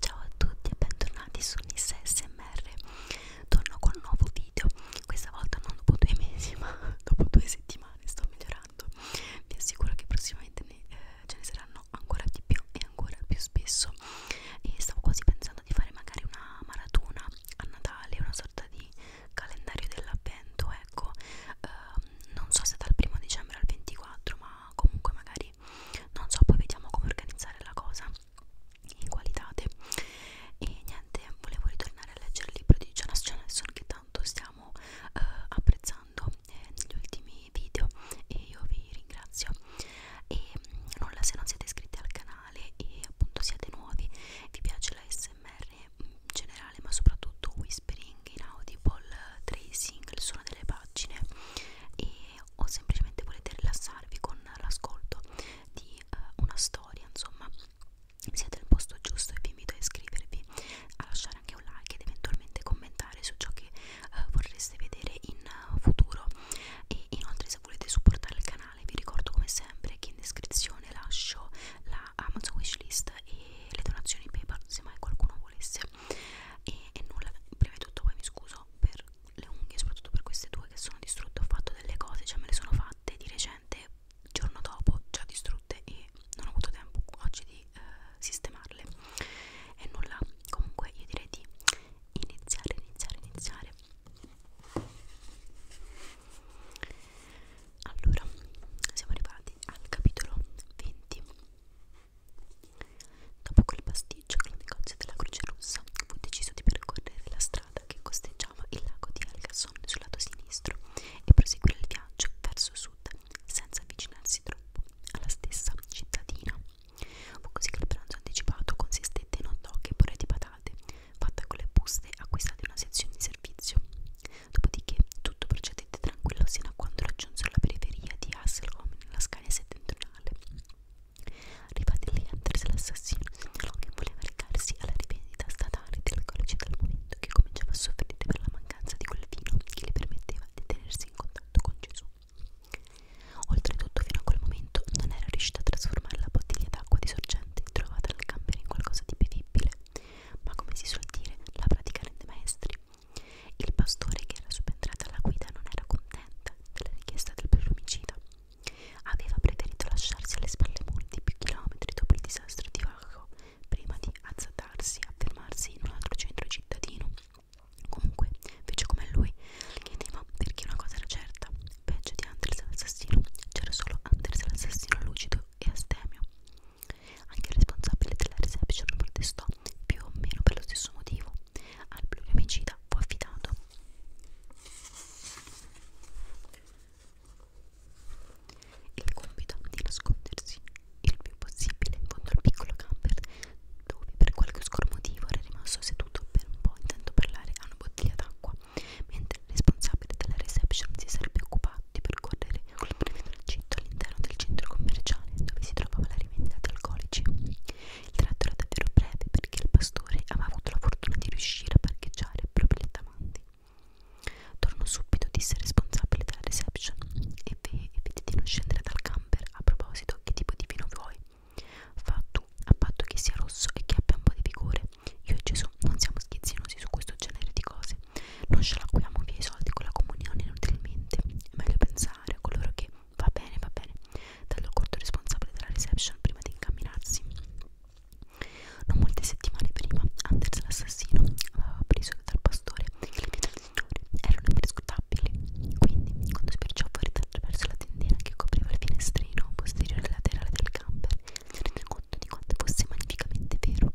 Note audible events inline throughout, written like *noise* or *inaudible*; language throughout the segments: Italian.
Ciao a tutti e bentornati su Nissa SMR Torno con un nuovo video Questa volta non dopo due mesi *laughs* ma dopo due settimane sto migliorando Vi assicuro che prossimamente ne, eh, ce ne saranno ancora di più e ancora più spesso E stavo quasi pensando di fare magari una maratona a Natale Una sorta di calendario dell'avvento ecco eh, Non so se dal primo dicembre al 24 ma comunque magari non so poi vediamo come organizzare la cosa in qualitate e niente volevo ritornare a leggere il libro di Jonas Jonasson che tanto stiamo eh, apprezzando eh, negli ultimi video e io vi ringrazio e mm, nulla se non siete iscritti al canale e appunto siete nuovi vi piace la smr in generale ma soprattutto whispering in audible tracing il suono delle pagine e o semplicemente volete rilassarvi con l'ascolto di uh, una storia insomma siete al posto giusto e vi invito a iscrivervi a lasciare anche un like ed eventualmente commentare su ciò che uh, vorreste vedere in uh, futuro e inoltre se volete supportare il canale vi ricordo come sempre che in descrizione lascio la Amazon wishlist e le donazioni PayPal se mai qualcuno volesse e, e nulla, prima di tutto poi mi scuso per le unghie, soprattutto per queste due che sono distrutte, ho fatto delle cose, cioè me le sono fatte di recente, giorno dopo già distrutte e non ho avuto tempo oggi di eh, sistemarle e nulla, comunque io direi di iniziare, iniziare, iniziare allora siamo arrivati al capitolo 20 Dopo quel pasticcio col negozio della Croce Rossa, fu deciso di percorrere la strada che costeggiava il lago di Algasson sul lato sinistro e proseguire il viaggio verso sud, senza avvicinarsi troppo alla stessa cittadina. Fu così che il pranzo anticipato consistette in hot dog e pure di patate, fatta con le buste acquistate in una sezione di servizio. Dopodiché tutto procedette procedette tranquillo sino a quando raggiunsero la periferia di Hasselholm nella Scania settentrionale. Arrivati lì, Anders l'assassino segnalò che voleva recarsi alla rivendita statale del codice del momento che cominciava a soffrire per la mancanza di quel vino che gli permetteva di tenersi in contatto con Gesù. Oltretutto, fino a quel momento non era riuscita a trasformare la bottiglia d'acqua di sorgente trovata nel camper in qualcosa di bevibile, ma come si suol dire, la pratica rende maestri. Il pastore che era subentrato alla guida non era contento della richiesta del pluromicida. Aveva preferito lasciarsi alle spalle molti più chilometri dopo il disastro di Vago prima di azzardarsi a fermarsi in un altro centro cittadino. Comunque, fece come lui, chiedeva perché una cosa era certa: peggio di Anders l'assassino, c'era solo Anders l'assassino lucido e astemio. Anche il responsabile della reception protestò più o meno per lo stesso motivo. Al pluriomicida fu affidato. Il compito di nascondersi il più possibile in fondo al piccolo camper, dove per qualche oscuro motivo era rimasto seduto per un po' intento parlare a una bottiglia d'acqua, mentre il responsabile della reception si sarebbe occupato notti percorrere un tragitto all'interno del centro commerciale dove si trovava la rivendita di alcolici. Il tratto era davvero breve perché il pastore aveva avuto la fortuna di riuscire a parcheggiare proprio lì davanti. Torno subito, disse il responsabile della reception, e, ve e vedi di non scendere dal camper. A proposito, che tipo di vino vuoi? Fa tu, a patto che sia rosso e che abbia un po' di vigore. Io e Gesù non siamo schizzinosi su questo genere di cose non scialacquiamo via i soldi con la comunione inutilmente, è meglio pensare a coloro che va bene, va bene, dallo corto responsabile della reception prima di incamminarsi. Non molte settimane prima, Anders l'assassino aveva preso dal pastore che le mie signore erano imprescrutabili, quindi quando sbirciò fuori attraverso la tendina che copriva il finestrino posteriore laterale del camper, si rese conto di quanto fosse magnificamente vero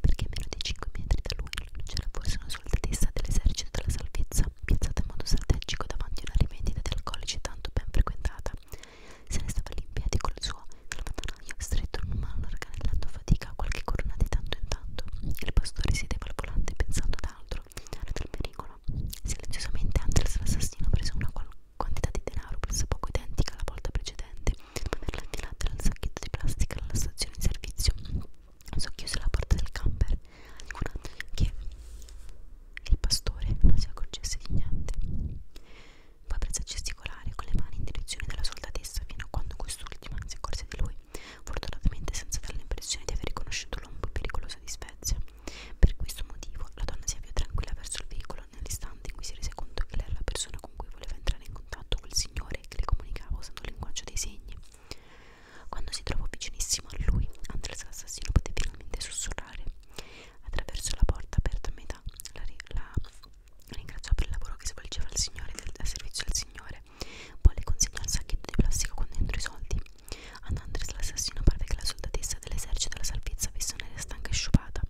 perché a meno di 5 metri da lui non c'era forse una soldatessa dell'esercito della salvezza, piazzata in modo strategico davanti a una rivendita di alcolici tanto ben frequentata. Se ne stava lì in piedi col suo salvatanaio stretto in una mano, organizzando fatica a qualche corona di tanto in tanto. Il pastore sedeva al volante pensando ad altro, dal pericolo. Silenziosamente Andres l'assassino prese una quantità di denaro pressoché identica alla volta precedente Dopo averla attirata dal sacchetto di plastica alla stazione di servizio, socchiuse la porta del camper, curando che il pastore non si accorgesse di niente. Poi prese a gesticolare con le mani in direzione della soldatessa fino a quando quest'ultima si accorse di lui, fortunatamente senza dare l'impressione di aver riconosciuto l'ombo pericolosa di Spezia. Per questo motivo la donna si avviò tranquilla verso il veicolo piccolo nell'istante in cui si rese conto che lei era la persona con cui voleva entrare in contatto quel signore che le comunicava usando il linguaggio dei segni. Quando si trovò vicinissimo a lui, Andres l'assassino poté finalmente sussurrare. Attraverso la porta aperta a metà, la, la ringraziò per il lavoro che svolgeva il signore del, del servizio al signore. Poi le consegnò il sacchetto di plastica con dentro i soldi. Ad Andres l'assassino parve che la soldatessa dell'esercito della salvezza avesse un'aria stanca e sciupata.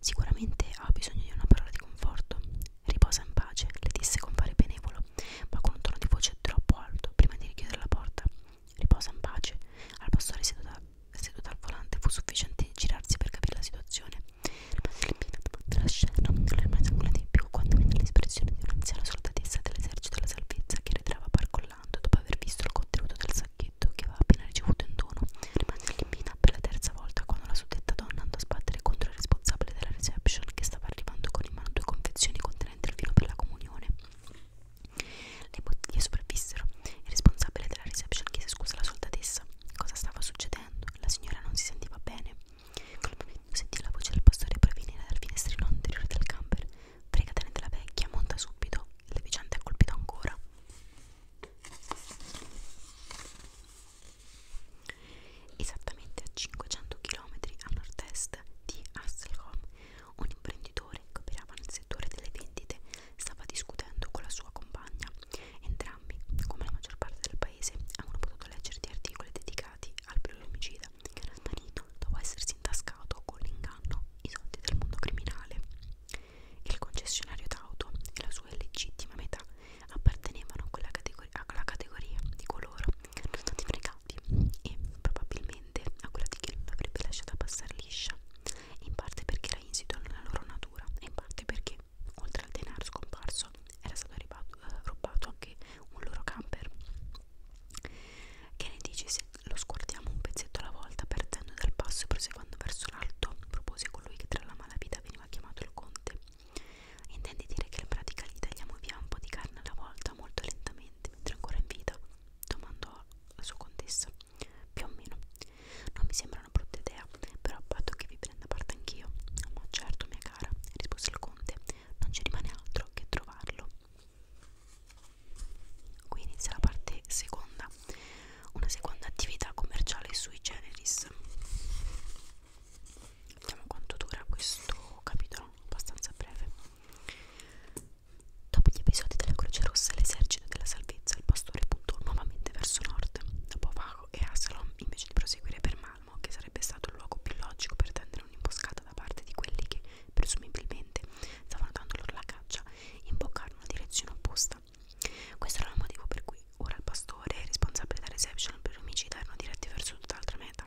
Sicuramente ha bisogno di una parola di conforto. Riposa in pace, le disse compare benevolo, ma con un tono di voce troppo alto prima di richiudere la porta. Riposa in pace. Al pastore seduta, seduta al volante fu sufficiente girarsi per capire la situazione. La scena non era mai sanguinata di più quando venne l'espressione di un'anziana soldatessa dell'esercito della salvezza che ritrava parcollando dopo aver visto il contenuto del sacchino berretto che aveva appena ricevuto in dono rimase all'impina per la terza volta quando la suddetta donna andò a sbattere contro il responsabile della reception che stava arrivando con in mano due confezioni contenenti il vino per la comunione le bottiglie sopravvissero il responsabile della reception chiese scusa alla soldatessa cosa stava succedendo la signora non si sentiva bene quel momento sentì la voce del pastore provenire dal finestrino anteriore del camper fregatene della vecchia monta subito il vicente è colpito ancora Esattamente a 500 km a nord-est di Hasselholm, un imprenditore che operava nel settore delle vendite stava discutendo con la sua compagna. Entrambi, come la maggior parte del paese, avevano potuto leggere di articoli dedicati al pluriomicida che era sparito dopo essersi intascato con l'inganno i soldi del mondo criminale. Il concessionario d'auto e la sua illegittima metà appartenevano a quella categoria, a quella categoria di coloro che erano stati fregati e probabilmente a quella di chi non l'avrebbe lasciata passare liscia, in parte perché era insito nella loro natura e in parte perché, oltre al denaro scomparso, era stato ribato, eh, rubato anche un loro camper. Che ne dici se lo scordiamo un pezzetto alla volta, perdendo dal passo e proseguendo verso l'alto, propose colui che tra la malavita veniva chiamato il conte. Intendi dire che in pratica gli tagliamo via un po' di carne alla volta, molto lentamente, mentre ancora in vita? domandò la sua contessa. Più o meno. Non mi sembra una brutta idea, però a patto che vi prenda parte anch'io. Ma certo, mia cara, rispose il conte, non ci rimane altro che trovarlo. Qui inizia la parte seconda una seconda attività commerciale sui generis vediamo quanto dura questo capitolo abbastanza breve dopo gli episodi della Croce Rossa l'esercito della salvezza il pastore puntò nuovamente verso nord dopo Vago e Asalom invece di proseguire per Malmo che sarebbe stato il luogo più logico per tendere un'imboscata da parte di quelli che presumibilmente stavano dando loro la caccia imboccarono una direzione opposta questo era il motivo per cui ora il pastore e responsabile della reception per omicidi erano diretti verso tutt'altra meta.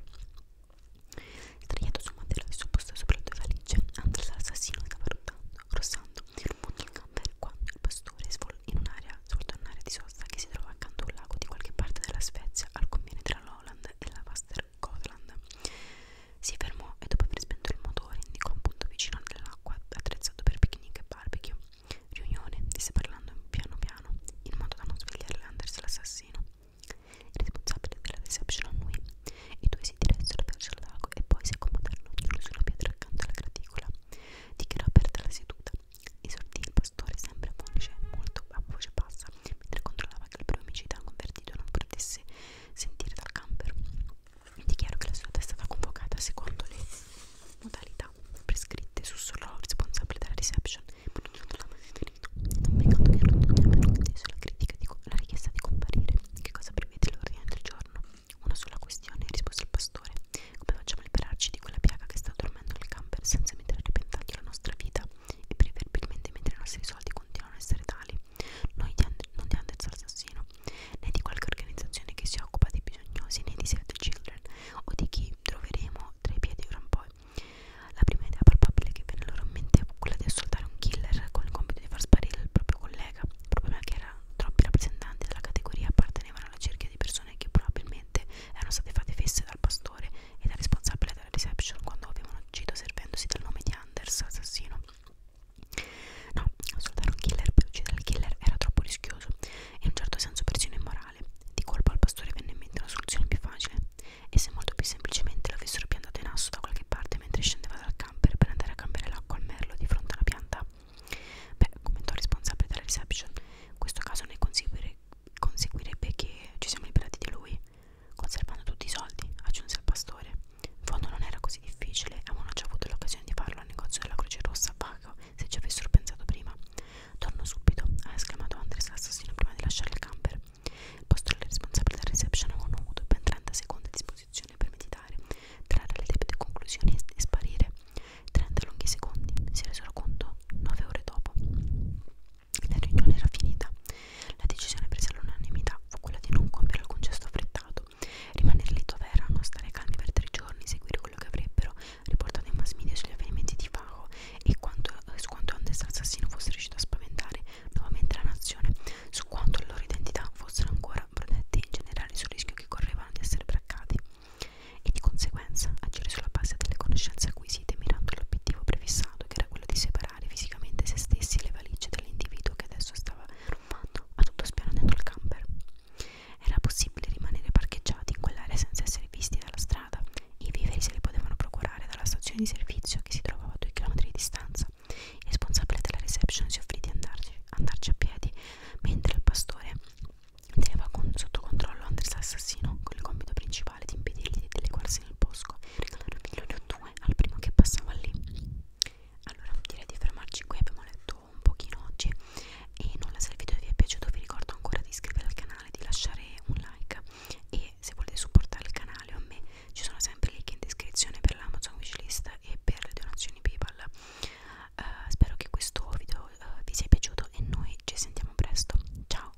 Il traghetto sul mantello di sopposto sopra le due valigie, Andres l'assassino stava ruttando, rossando in un punto il camper quando il pastore in un'area, sorto in un'area di sosta che si trova accanto a un lago di qualche parte della Svezia al confine tra l'Holland e la Vaster Gotland. Si fermò e dopo aver spento il motore indicò un punto vicino all'acqua attrezzato per picnic e barbecue. Riunione, disse parlando piano piano, in modo da non svegliare Landers l'assassino. Il responsabile della reception annui. I due si diressero verso il lago e poi si accomodarono ognuno su una pietra accanto alla graticola. Dichiarò aperta la seduta. Esortì il pastore sempre a voce molto a voce bassa, mentre controllava che il promicida convertito non potesse sentire dal camper. Dichiaro che la sua è stata convocata secondo le modalità prescritte su solo responsabile della reception. Non mi ricordo che non conteso la critica di la richiesta di comparire. Che cosa prevede l'ordine del giorno? Una sola questione, rispose il pastore. Come facciamo a liberarci di quella piaga che sta dormendo nel camper senza mettere a repentaglio la nostra vita? E preferibilmente mentre i nostri soldi continuano a essere tali non di, And non di Andez Assassino, né di qualche organizzazione che si occupa dei bisognosi, né di Save the Children o di chi troveremo tra i piedi ora in poi. La prima idea probabile che venne loro in mente fu quella di assoltare un killer con il compito di far sparire il proprio collega, il problema è che era troppi rappresentanti della categoria appartenevano alla cerchia di persone che probabilmente erano state fatte fesse dal pastore e dal responsabile della reception quando avevano ucciso servendosi del nome di Anders, assassino. No, assolutare un killer per uccidere il killer era troppo rischioso e in un certo senso persino immorale. Di colpo al pastore venne in mente una soluzione più facile. E se molto più semplicemente l'avessero piantato in asso da qualche parte mentre scendeva dal camper per andare a cambiare l'acqua al merlo di fronte alla pianta? Beh, commentò responsabile della reception, questo caso ne conseguirebbe che ci siamo liberati di lui. Conservando tutti i soldi, aggiunse il pastore. In fondo non era così difficile, avevano già avuto l'occasione di farlo al negozio della Croce Rossa a Paco, se ci avessero pensato prima. Torno subito, ha esclamato Andres l'assassino prima di lasciare il camper. Il pastore responsabile della reception avevano avuto ben 30 secondi a disposizione per meditare, trarre le debite conclusioni e sparire. 30 lunghi secondi, si resero conto 9 ore dopo. La riunione era finita. La decisione presa all'unanimità fu quella di non compiere alcun gesto affrettato, rimanere lì dove erano, stare calmi per tre giorni, seguire quello che avrebbero riportato i mass media sugli avvenimenti di Fago e quanto, eh, su quanto Andes assassino fosse riuscito a spaventare nuovamente la nazione, su quanto le loro identità fossero ancora protette in generale sul rischio che correvano di essere braccati e di conseguenza agire sulla base delle conoscenze acquisite mirando all'obiettivo prefissato che era quello di separare separare fisicamente se stessi e le valigie dell'individuo che adesso stava rumbando a tutto spiano dentro il camper. Era possibile rimanere parcheggiati in quell'area senza essere visti dalla strada. I viveri se li potevano procurare dalla stazione di servizio che si trovava a due chilometri di distanza. Il responsabile della reception si offrì di andarci, andarci a piedi, mentre il pastore teneva con, sotto controllo Andres l'assassino con il compito principale verbale di impedirgli di legarsi nel bosco e regalare un milione o due al primo che passava lì. Allora direi di fermarci qui, abbiamo letto un pochino oggi e nulla se il video vi è piaciuto vi ricordo ancora di iscrivervi al canale, di lasciare un like e se volete supportare il canale o a me ci sono sempre link in descrizione per l'Amazon wishlist e per le donazioni Paypal. Uh, spero che questo video uh, vi sia piaciuto e noi ci sentiamo presto. Ciao!